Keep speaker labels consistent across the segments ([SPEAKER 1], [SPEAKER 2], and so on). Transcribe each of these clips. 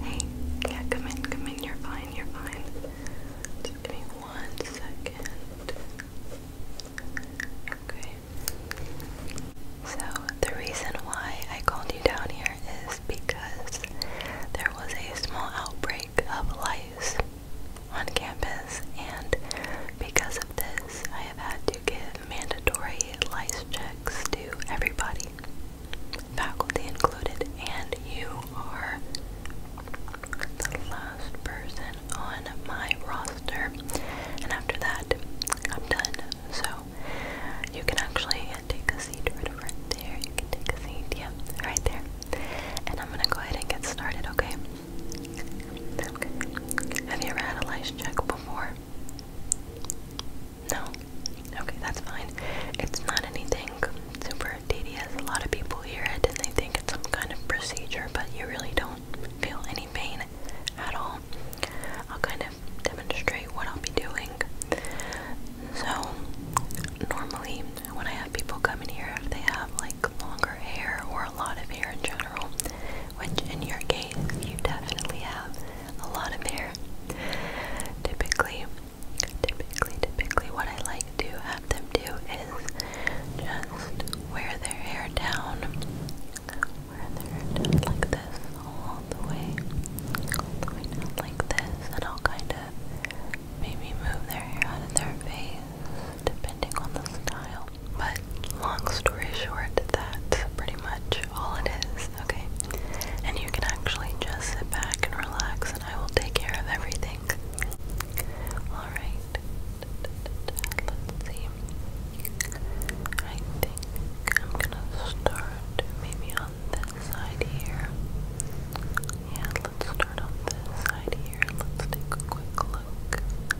[SPEAKER 1] Hey, yeah, come in, come in, you're fine, you're fine. Just give me one second. Okay. So, the reason why I called you down here is because there was a small outbreak of lice on campus, and because of this, I have had to give mandatory lice checks to everybody, faculty included, and you are the last person on my roster. And after that, I'm done. So you can actually take a seat right there. You can take a seat, yeah, right there. And I'm gonna go ahead and get started, okay? Have you ever had a lice check before? No? Okay, that's fine. It's not anything super tedious. A lot of people hear it and they think it's some kind of procedure, but you really don't feel any pain at all. I'll kind of demonstrate what I'll be doing. So, normally when I have people come in here, if they have like longer hair or a lot of hair in general, which in your case, you definitely have a lot of hair. Typically, typically, typically, what I like to have them do is just wear their hair down, wear their hair down like this, all the way, all like this, and I'll kind of maybe move their hair out of their face depending on the style. But long story short, that's pretty much all it is, okay? And you can actually just sit back and relax, and I will take care of everything. Alright. Let's see. I think I'm gonna start maybe on this side here. Yeah, let's start on this side here. Let's take a quick look.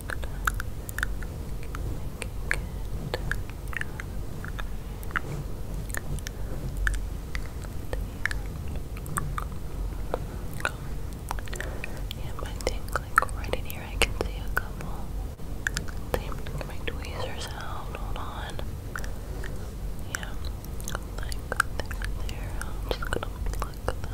[SPEAKER 1] Yeah, but I right in here I can see a couple. Let my tweezers out. Hold on. Yeah, there, I'm just gonna pluck that.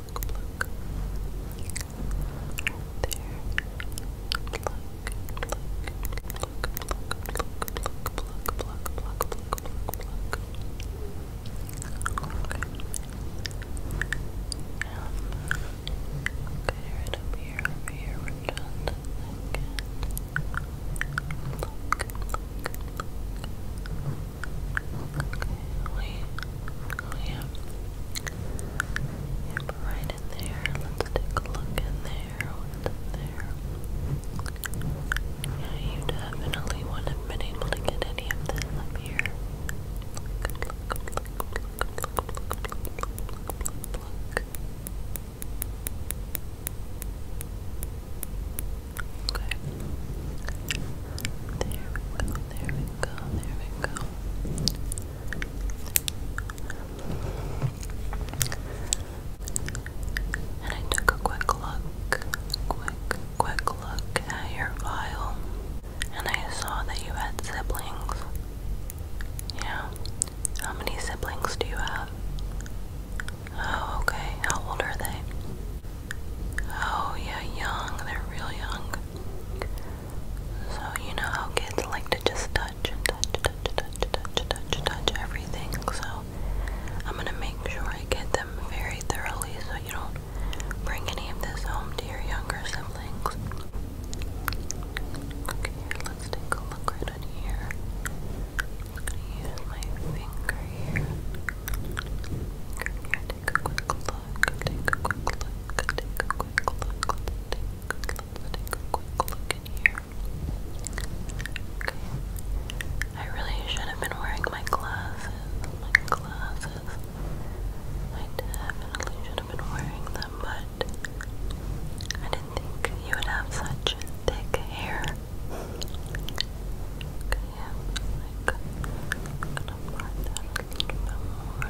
[SPEAKER 1] pluck, pluck. There. Pluck, pluck, pluck, pluck, pluck, pluck, pluck, pluck, pluck, pluck, pluck. Okay. Um, okay, right up here, over here, we're done. Again. Pluck, pluck, pluck. Okay we, oh yeah. right in there. Let's take a look in there. What's in there? Yeah, you definitely wouldn't have able to get any of this up here. Okay. There there we go, there we go. And I took a quick look, quick, quick look at your file, and I saw that you had siblings. Yeah. How many siblings do you have? Oh, okay. How old are they? Oh, yeah, young. They're real young. So you know how kids like to just touch and touch, touch, touch, touch, touch, touch everything. So I'm gonna make sure I get them very thoroughly so you don't bring any of this home to your younger siblings. Okay, let's take a look right in here. I'm gonna use my finger here. Here, take a quick look. I really should have been wearing my glasses, my glasses. I definitely should have been wearing them, but I didn't think you would have such thick hair. Okay, I'm gonna part that a little bit more,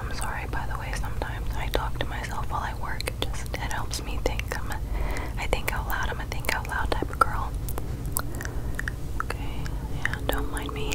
[SPEAKER 1] I'm sorry, by the way, sometimes I talk to myself while I work. It just it helps me think. I'm a, I think out loud. I'm a think out loud type of girl. Okay, yeah, don't mind me.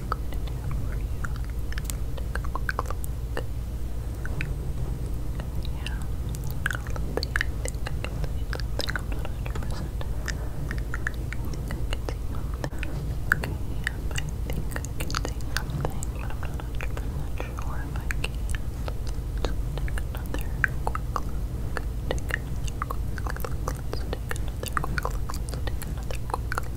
[SPEAKER 1] I'm going to do for you. Take a quick look. Yeah. Although the, I think I can see something. I'm not 100%. I think I can see something. Okay, yeah, I think I can see something, but I'm not 100% sure if I can. Let's take another quick look. Take another quick look. Let's take another quick look. Let's take another quick look.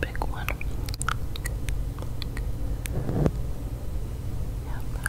[SPEAKER 1] big one. Yep.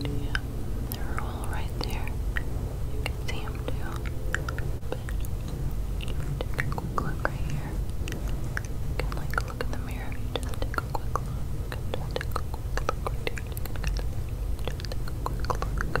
[SPEAKER 1] Yeah, they're all right there. You can see them too. But take a quick look right here. You can like look in the mirror if you just take a quick look. Just take a quick look right here. Just take a quick look.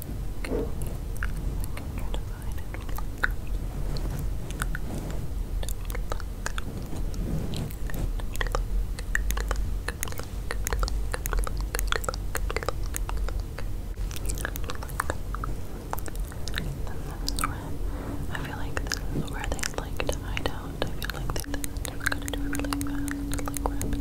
[SPEAKER 1] I feel like this is where they like to hide out. I feel like this is what we gotta do it really fast, like rapidly.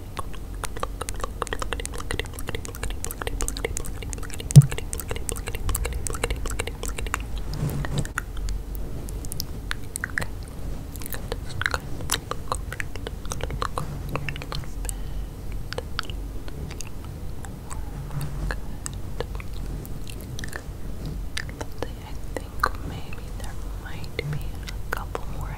[SPEAKER 1] Let's see, I think maybe there might be a couple more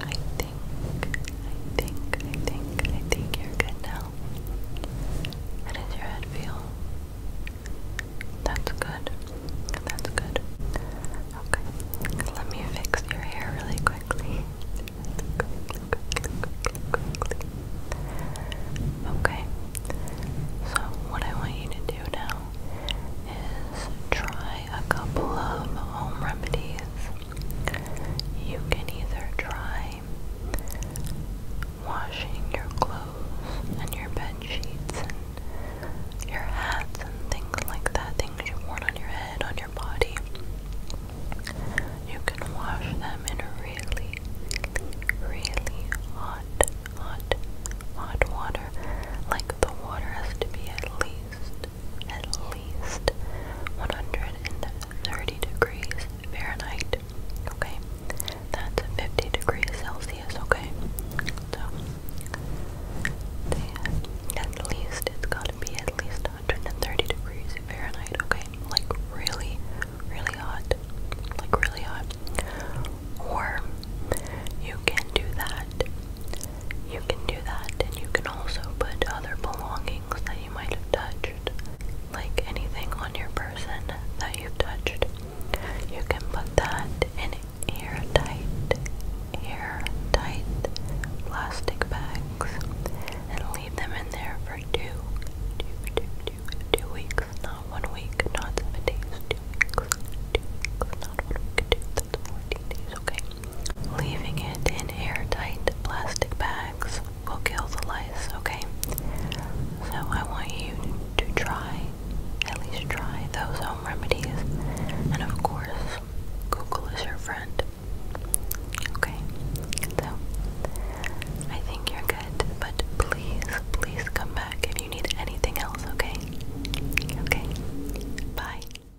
[SPEAKER 1] I think, I think, I think, I think you're good now. How does your head feel? That's good. That's good. Okay. Let me fix your hair really quickly. quickly. Okay. So what I want you to do now is try a couple of home remedies you can either try washing your clothes and your bed sheets and your hats and things like that, things you worn on your head, on your body. You can wash them in a really, really hot, hot, hot water. Like the water has to be at least at least 130 degrees Fahrenheit. Okay, that's 50 degrees Celsius. Okay, so at least it's got to be at least 130 degrees Fahrenheit. Okay, like really, really hot, like really hot. Or you can do that you can do that, and you can also put other belongings that you might have touched, like anything on your person that you touched. You can put that in airtight, airtight plastic bags and leave them in there for two, two, two, two, two weeks. Not one week, not seven days, two weeks, two weeks, not one week, two, that's okay? Leaving it in airtight plastic bags will kill the lice, okay? So I want you to try, at least try those home remedies. And of course, Google is your friend. Okay, so I think you're good, but please, please come back if you need anything else, okay? Okay, bye.